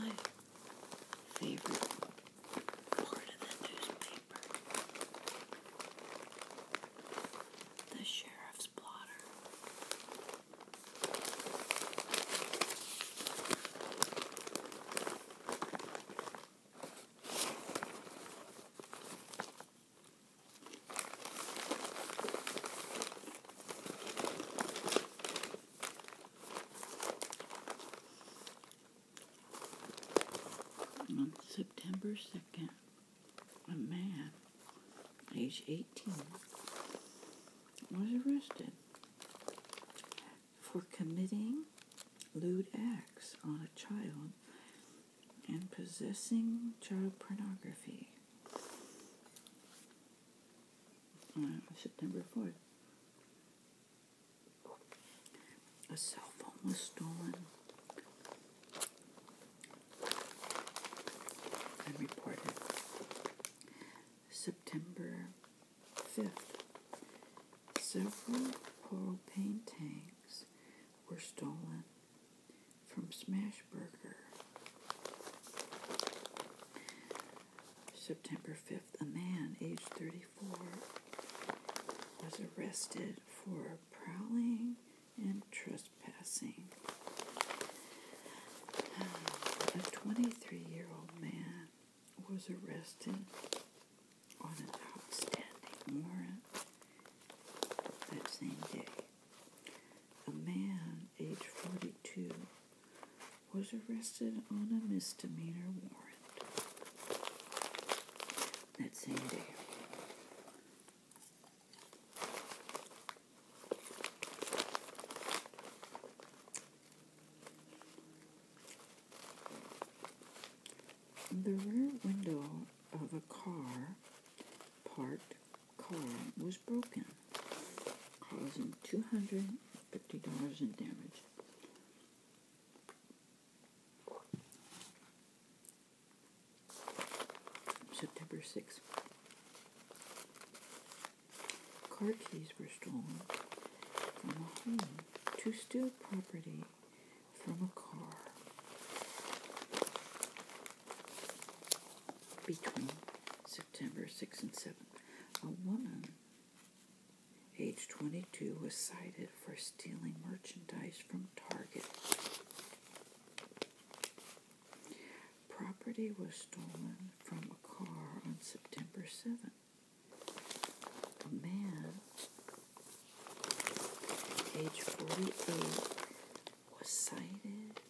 Oh, good. My favorite part of the newspaper. The sheriff's blotter. On September 2nd, a man, age 18, was arrested for committing lewd acts on a child and possessing child pornography. On September 4th, a cell phone was stolen and reported September 5th. Several propane tanks were stolen from Smashburger. September 5th a man aged 34, was arrested for prowling and trespassing. A 23 year old man was arrested on an outstanding warrant that same day. A man aged 42 was arrested on a misdemeanor warrant that same day. The rear window of a car, part car, was broken, causing $250 in damage September 6th. Car keys were stolen from a home to steal property from a car between September 6th and 7th. A woman Age 22 was cited for stealing merchandise from Target. Property was stolen from a car on September 7th. A man, age 48, was cited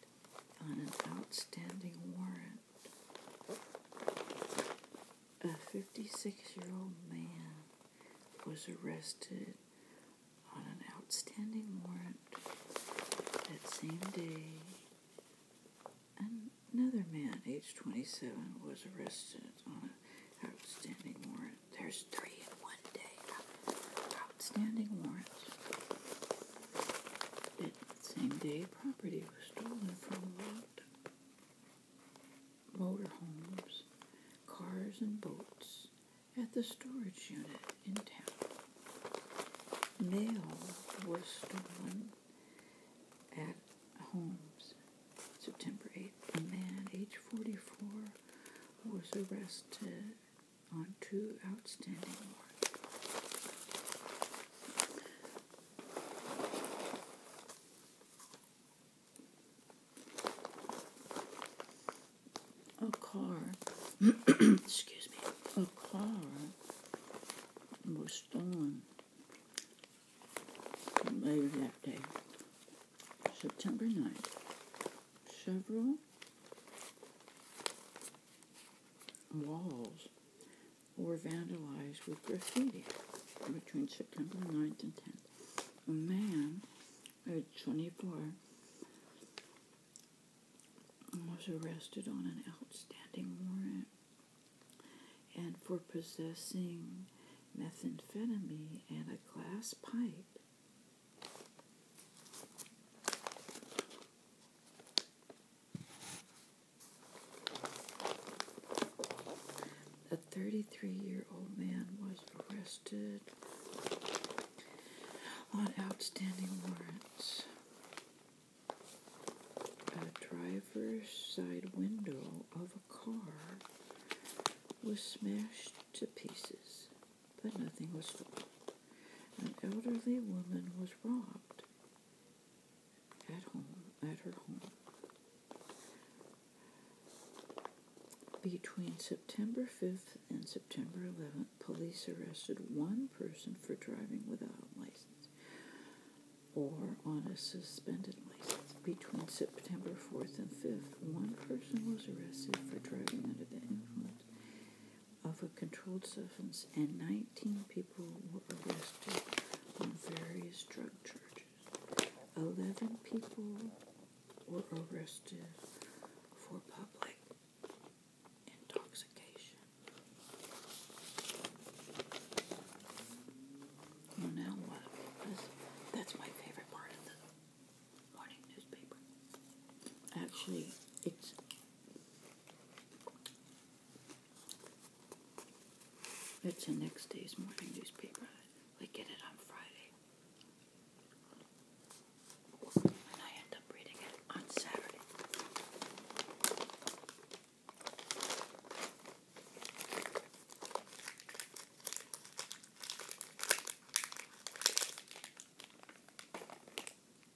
on an outstanding warrant a 56 year old man was arrested on an outstanding warrant that same day. Another man, age 27, was arrested on an outstanding warrant. There's three in one day. Outstanding warrants. That same day, property was stolen from locked motorhomes, cars, and boats at the storage unit in town. Mail was stolen at Holmes, September 8th. A man, age 44, was arrested on two outstanding warrants a car, excuse me, a car was stolen later that day, September 9th. Several walls were vandalized with graffiti between September 9th and 10th. A man, age 24, was arrested on an outstanding warrant and for possessing methamphetamine and a glass pipe. A 33 year old man was arrested on outstanding warrants. A driver's side window of a car was smashed to pieces, but nothing was stolen. An elderly woman was robbed at home, at her home. Between September 5th and September 11th, police arrested one person for driving without a license or on a suspended license. Between September 4th and 5th, one person was arrested for driving under the influence of a controlled substance, and 19 people were arrested on various drug charges. 11 people were arrested for public intoxication. You what? that's my favorite part of the morning newspaper. Actually, it's it's the next day's morning newspaper. We get it on Friday. And I end up reading it on Saturday.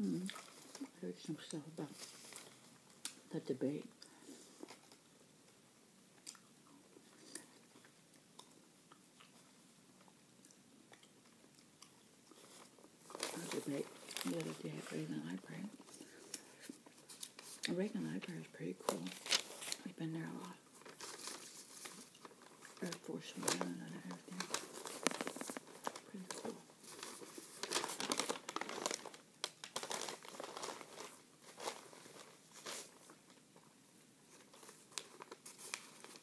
Mm. I heard some debate. I just make the other day Reagan Library. Reagan Library is pretty cool. We've been there a lot. Air Force One and everything. Pretty cool.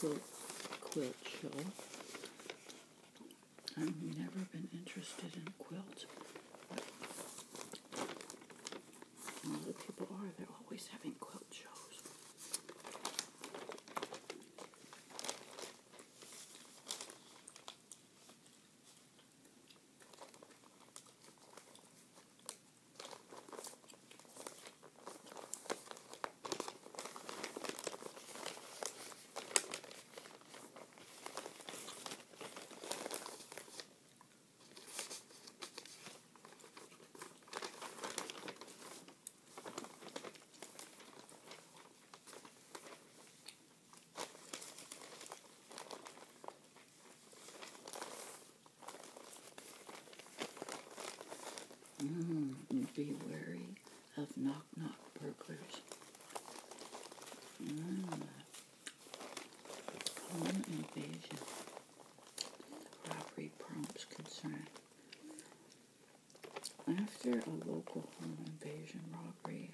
quilt, quilt show. I've never been interested in quilts. All the people are, they're always having quilt shows. Mm, be wary of knock knock burglars. Mm. Home invasion. Robbery prompts concern. After a local home invasion robbery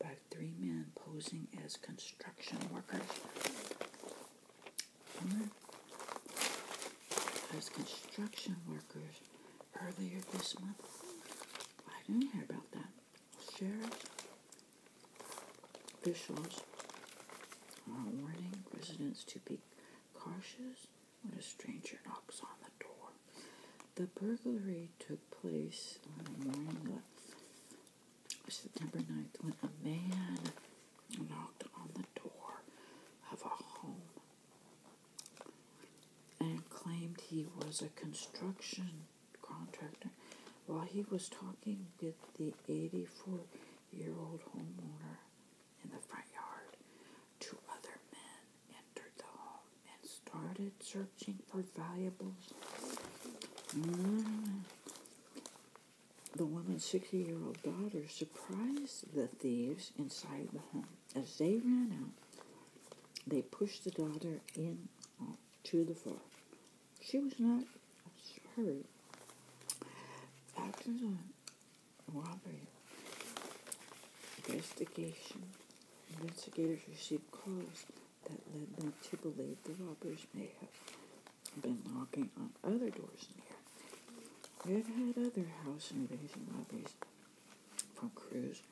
by three men posing as construction workers, hmm. as construction workers earlier this month. I didn't hear about that. officials are warning residents to be cautious when a stranger knocks on the door. The burglary took place on the morning of September 9th when a man knocked on the door of a home and claimed he was a construction contractor while he was talking with the 84 year old homeowner in the front yard. Two other men entered the home and started searching for valuables. Mm. The woman's 60 year old daughter surprised the thieves inside the home. As they ran out, they pushed the daughter in to the floor. She was not hurt. After the robbery investigation, investigators received clues that led them to believe the robbers may have been knocking on other doors near. They had other house invasion robberies from Cruise,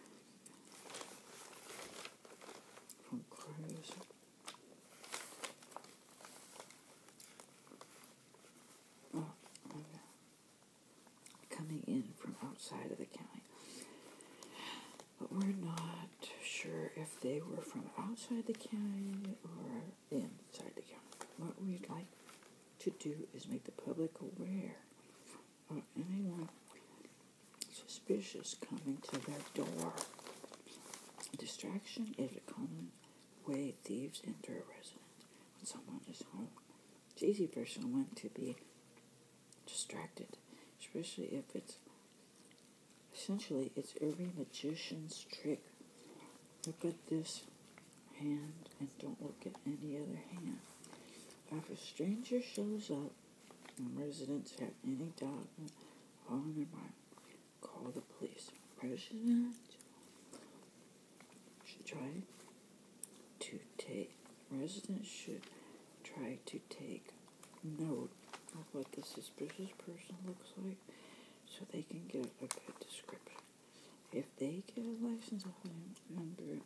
from Cruise. Oh, Coming in from outside of the county. But we're not sure if they were from outside the county or inside the county. What we'd like to do is make the public aware of anyone suspicious coming to their door. Distraction is a common way thieves enter a residence when someone is home. It's easy for someone to be distracted, especially if it's essentially it's every magician's trick. Look at this hand and don't look at any other hand. If a stranger shows up and residents have any doubt on their mind, call the police. President should try to take residents should try to take note of what the suspicious person looks like so they can get a good description if they get a license number, it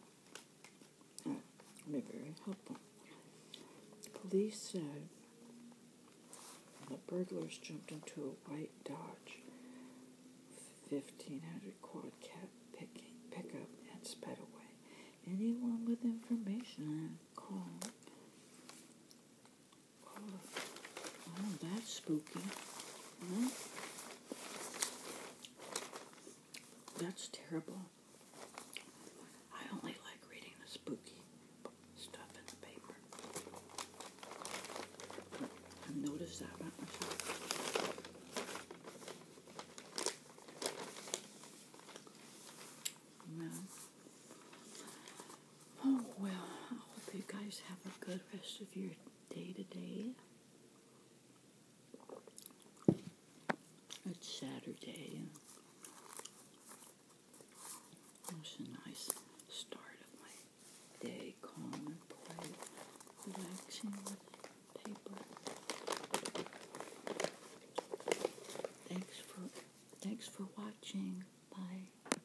uh, they be very helpful. Police said the burglars jumped into a white Dodge 1500 quad cab pickup and sped away. Anyone with information, call Oh, that's spooky. That's terrible. I only like reading the spooky stuff in the paper. I've noticed that about myself. Oh, well, I hope you guys have a good rest of your day to day. It's Saturday. It was a nice start of my day, calm and quiet, relaxing with paper. Thanks for thanks for watching. Bye.